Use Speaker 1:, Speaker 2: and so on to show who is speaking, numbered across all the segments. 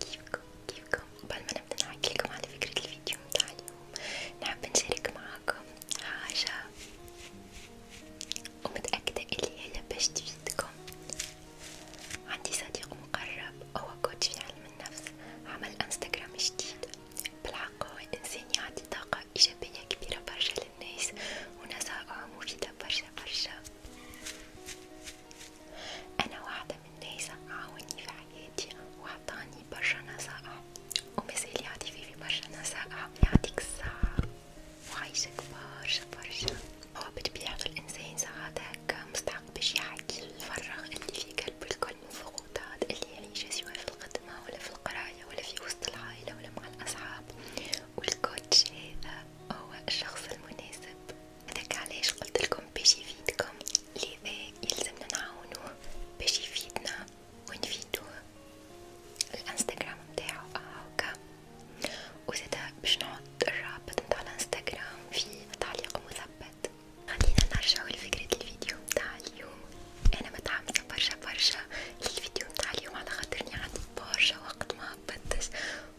Speaker 1: كيفكم كيفكم كيفكم قبل ما نبدا نحكيلكم على فكرة الفيديو متاع اليوم نحب نشارك معاكم حاجة ومتأكدة اللي هي باش تفيدكم عندي صديق مقرب هو كوتش في علم النفس عمل انستغرام جديد بالحق هو انسان يعطي طاقة ايجابية كبيرة برشا للناس ونصائحه مفيدة برشا برشا أنا واحدة من الناس عاوني في حياتي وعطاني برشا نصائح ومازال يعطي في برشا نصائح يعطيك الصحة وعايشك برشا برشا هو بطبيعة الإنسان ساعات هكا مستحق باش يحكي الفرغ اللي في قلبه الكل من ضغوطات اللي يعيشها سواء في الخدمة ولا في القراية ولا في وسط العائلة ولا مع الأصحاب والكوتش هذا هو الشخص المناسب هذاك علاش قلتلكم باش يفيدكم لذا يلزمنا نعاونوه باش يفيدنا ونفيدوه الانستغرام متاعو هاكا وزادا باش نحط الرابط متاع الانستغرام في تعليق مثبت خلينا نرجعو لفكرة الفيديو متاع اليوم انا متحمسة برشا برشا للفيديو متاع اليوم على خاطرني عندي برشا وقت ما هبطتش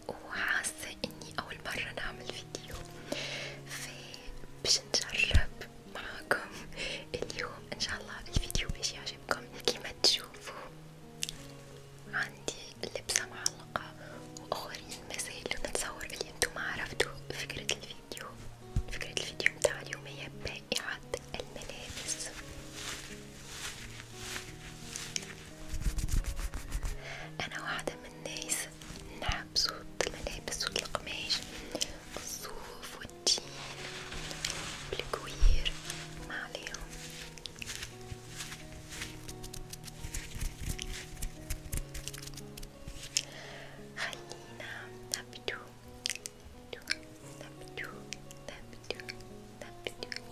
Speaker 1: وحاسة اني اول مرة نعمل فيديو فباش نجرب معاكم اليوم ان شاء الله الفيديو باش يعجبكم كيما تشوفوا عندي لبسة معلقة واخرين مازالوا نتصور اللي انتوما عرفتوا فكرة الفيديو فكرة الفيديو متاع اليوم هي بائعة الملابس انا واحدة من الناس نحب صوت الملابس والقماش الصوف والتين والكوير ما عليهم خلينا نبدو نبدو نبدو نبدو نبدو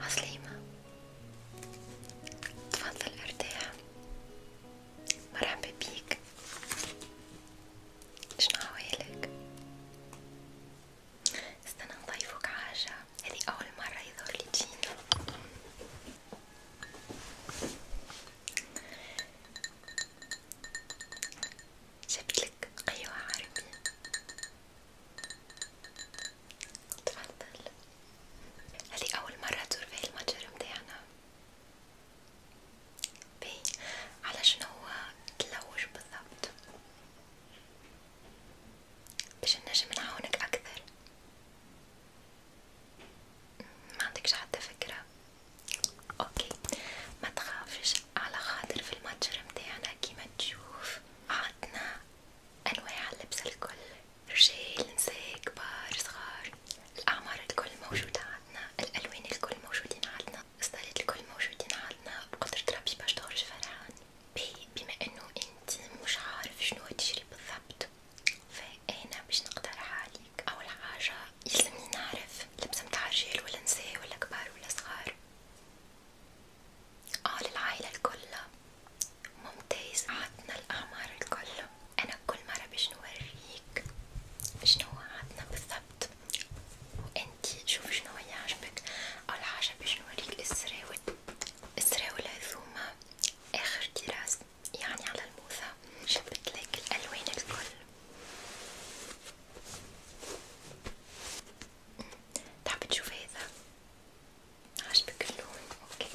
Speaker 1: عسليمة تفضل ارتاح مرحبا بيك شنو احوالك استنى نضيفك حاجة هذه اول مرة يظهر لي جينا جبتلك قهوة عربية تفضل هذه أول مرة تزور فيه المتجر متاعنا بي على شنو هو تلوج بالضبط باش نجم نعاونك أكثر ما عندكش حتى فكرة اوكي ما تخافش على خاطر في المتجر متاعنا كيما تشوف عندنا انواع اللبس الكل رجال نساء كبار صغار الاعمار الكل موجودة عندنا الالوان الكل موجودين عندنا الستايلات الكل موجودين عندنا بقدرة ربي باش تخرج فرحان بما انه انت مش عارف شنو تشري بالضبط فأنا باش نقترح عليك أول حاجة يلزمني نعرف لبسة متاع رجال ولا نساء ولا كبار ولا صغار اه للعائلة الكل ممتاز عطنا الأعمار الكل أنا كل مرة باش نوريك شنو عطنا بالضبط وانتي شوف شنو يعجبك أول حاجة باش نوريك السراويل السرا والعزومة آخر كراس يعني على الموسى جبتلك الألوان الكل تحب تشوف هذا؟ عجبك اللون؟ اوكي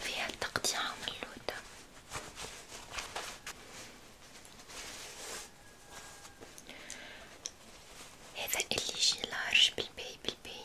Speaker 1: فيها التقطيعة من اللوتة هذا اللي يجي لارج بالباي بالباي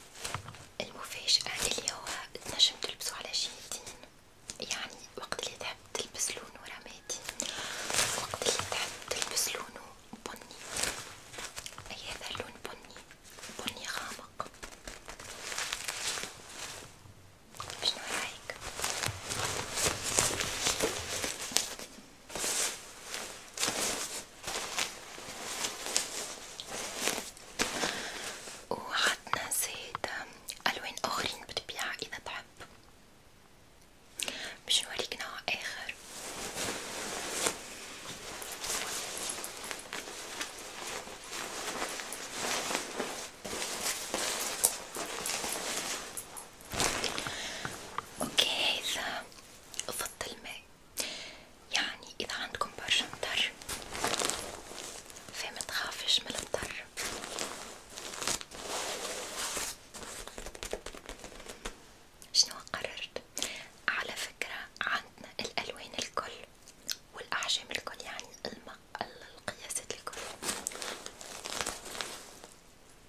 Speaker 1: المفاجأة اللي هو تنجم تلبسو على شيتين يعني وقت اللي تحب تلبس لونه رمادي وقت اللي تحب تلبس لونه بني أي هذا اللون بني بني غامق شنو رايك؟ وعندنا زيت ألوان آخرين بتبيعها إذا تحب باش نوريك نوع آخر اوكي هذا فض الماء يعني إذا عندكم برشا مطر فما تخافش من المطر شنو قررت؟ على فكرة عندنا الألوان الكل والأحجام الكل يعني القياسات الكل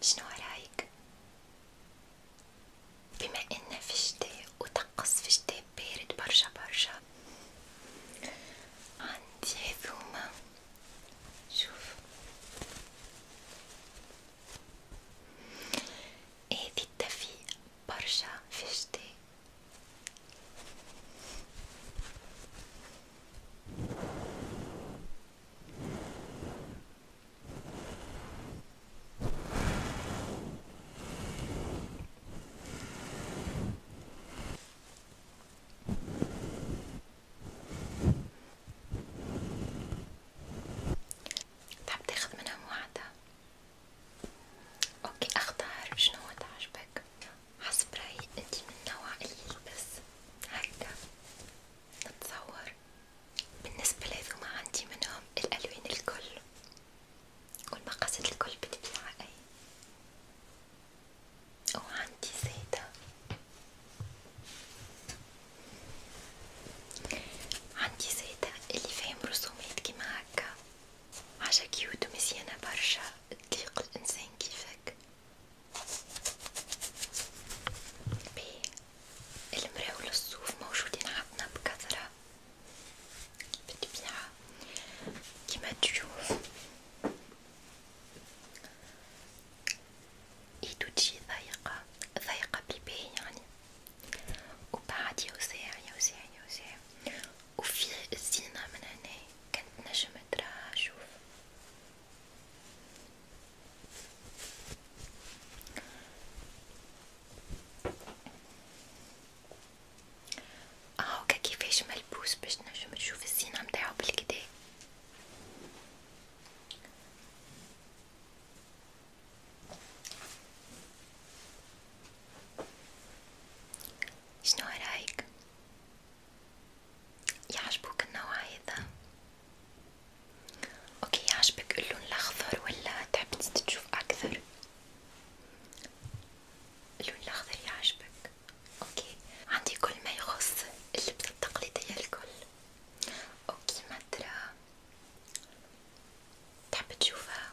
Speaker 1: شنو رايك بما ان في شتاء وطقس في شتاء بارد برشا برشا عندي هذوما شوف هذي تفي برشا في الشتاء تحب طيب، تاخذ منهم واحدة اوكي اختار شنو تعجبك حسب رأيي انتي من نوع اللي يلبس هكذا نتصور بالنسبة لهذوما عندي منهم الالوان الكل والمقاسات الكل بتبيع اي وعندي زيتها عندي زيتها اللي فيهم رسومات كيما هكا حاجة كيوت ومزيانة برشا تليق الإنسان كيفك باهي المرا والصوف موجودين عندنا بكثرة بالطبيعة كيما تشوف ايدو تجي ضيقة ضيقة بالباهي يعني وبعد يوسع يوسع يوسع وفي الزينة من هنا كنت نجم اتراها اشوف اه هوكا كيفاش ملبوس باش نجم نشوف الزينة متاعو بالكدا شنو رايك يعجبوك النوع هذا اوكي يعجبك اللون الاخضر ولا تحب تشوف اكثر اللون الاخضر يعجبك اوكي عندي كل ما يخص اللبس التقليديه الكل اوكي ما ترى تحب تشوفها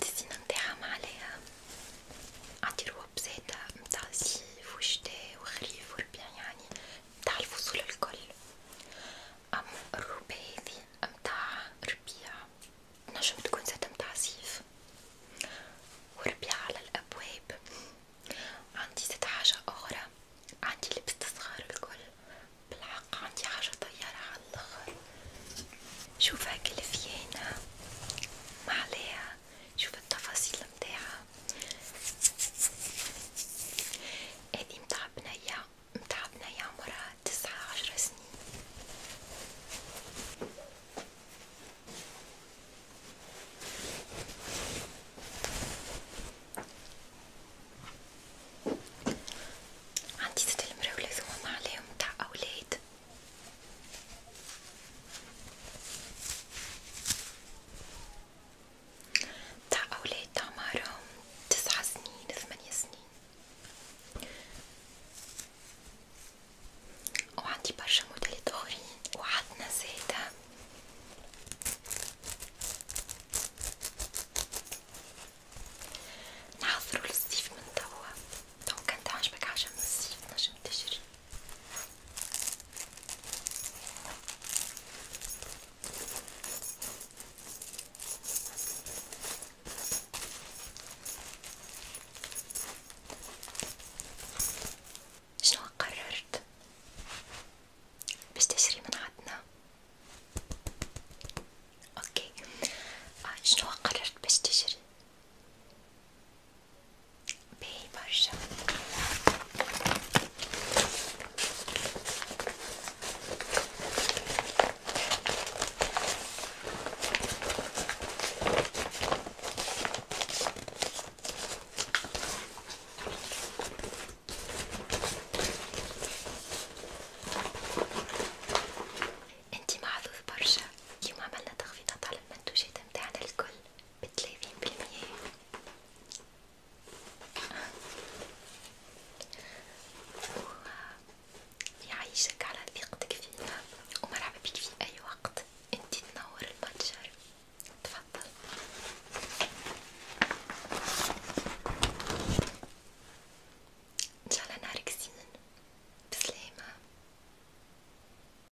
Speaker 1: تزينا ندعم عليها عندي رواب زادا متاع الصيف وشتا وخريف وربيع يعني متاع الفصول الكل أم الروبة هذي متاع ربيع تنجم تكون زادا متاع صيف وربيع على الأبواب عندي زاد حاجة أخرى عندي لبس الصغار الكل بالحق عندي حاجة طيارة على شوف هاك الفيانة معليها شوف التفاصيل متاعها بصراحه هذه متاع بنيه متاع بنيه عمرها تسعة عشر سنين عندي ست المراولة ثم عليهم متاع أولاد بتاع أولاد أعمارهم تسعة سنين ثمانية سنين وعندي برشا موديلات أخرين وعندنا زادا نحضرو للصيف من توا لو كانت عجبك عجب الصيف نجم تشري شنو قررت باش تشري من عندنا اوكي آه، شنو قررت باش تشري باهي برشا انتي معذوب برشا اليوم عملنا تخفيضات على المنتوجات متاعنا الكل بتلاتين بالمية ويعيشك على ثقتك فينا ومرحبا بك في أي وقت انتي تنور المتجر تفضل ان شاء الله نهارك زين بسلامة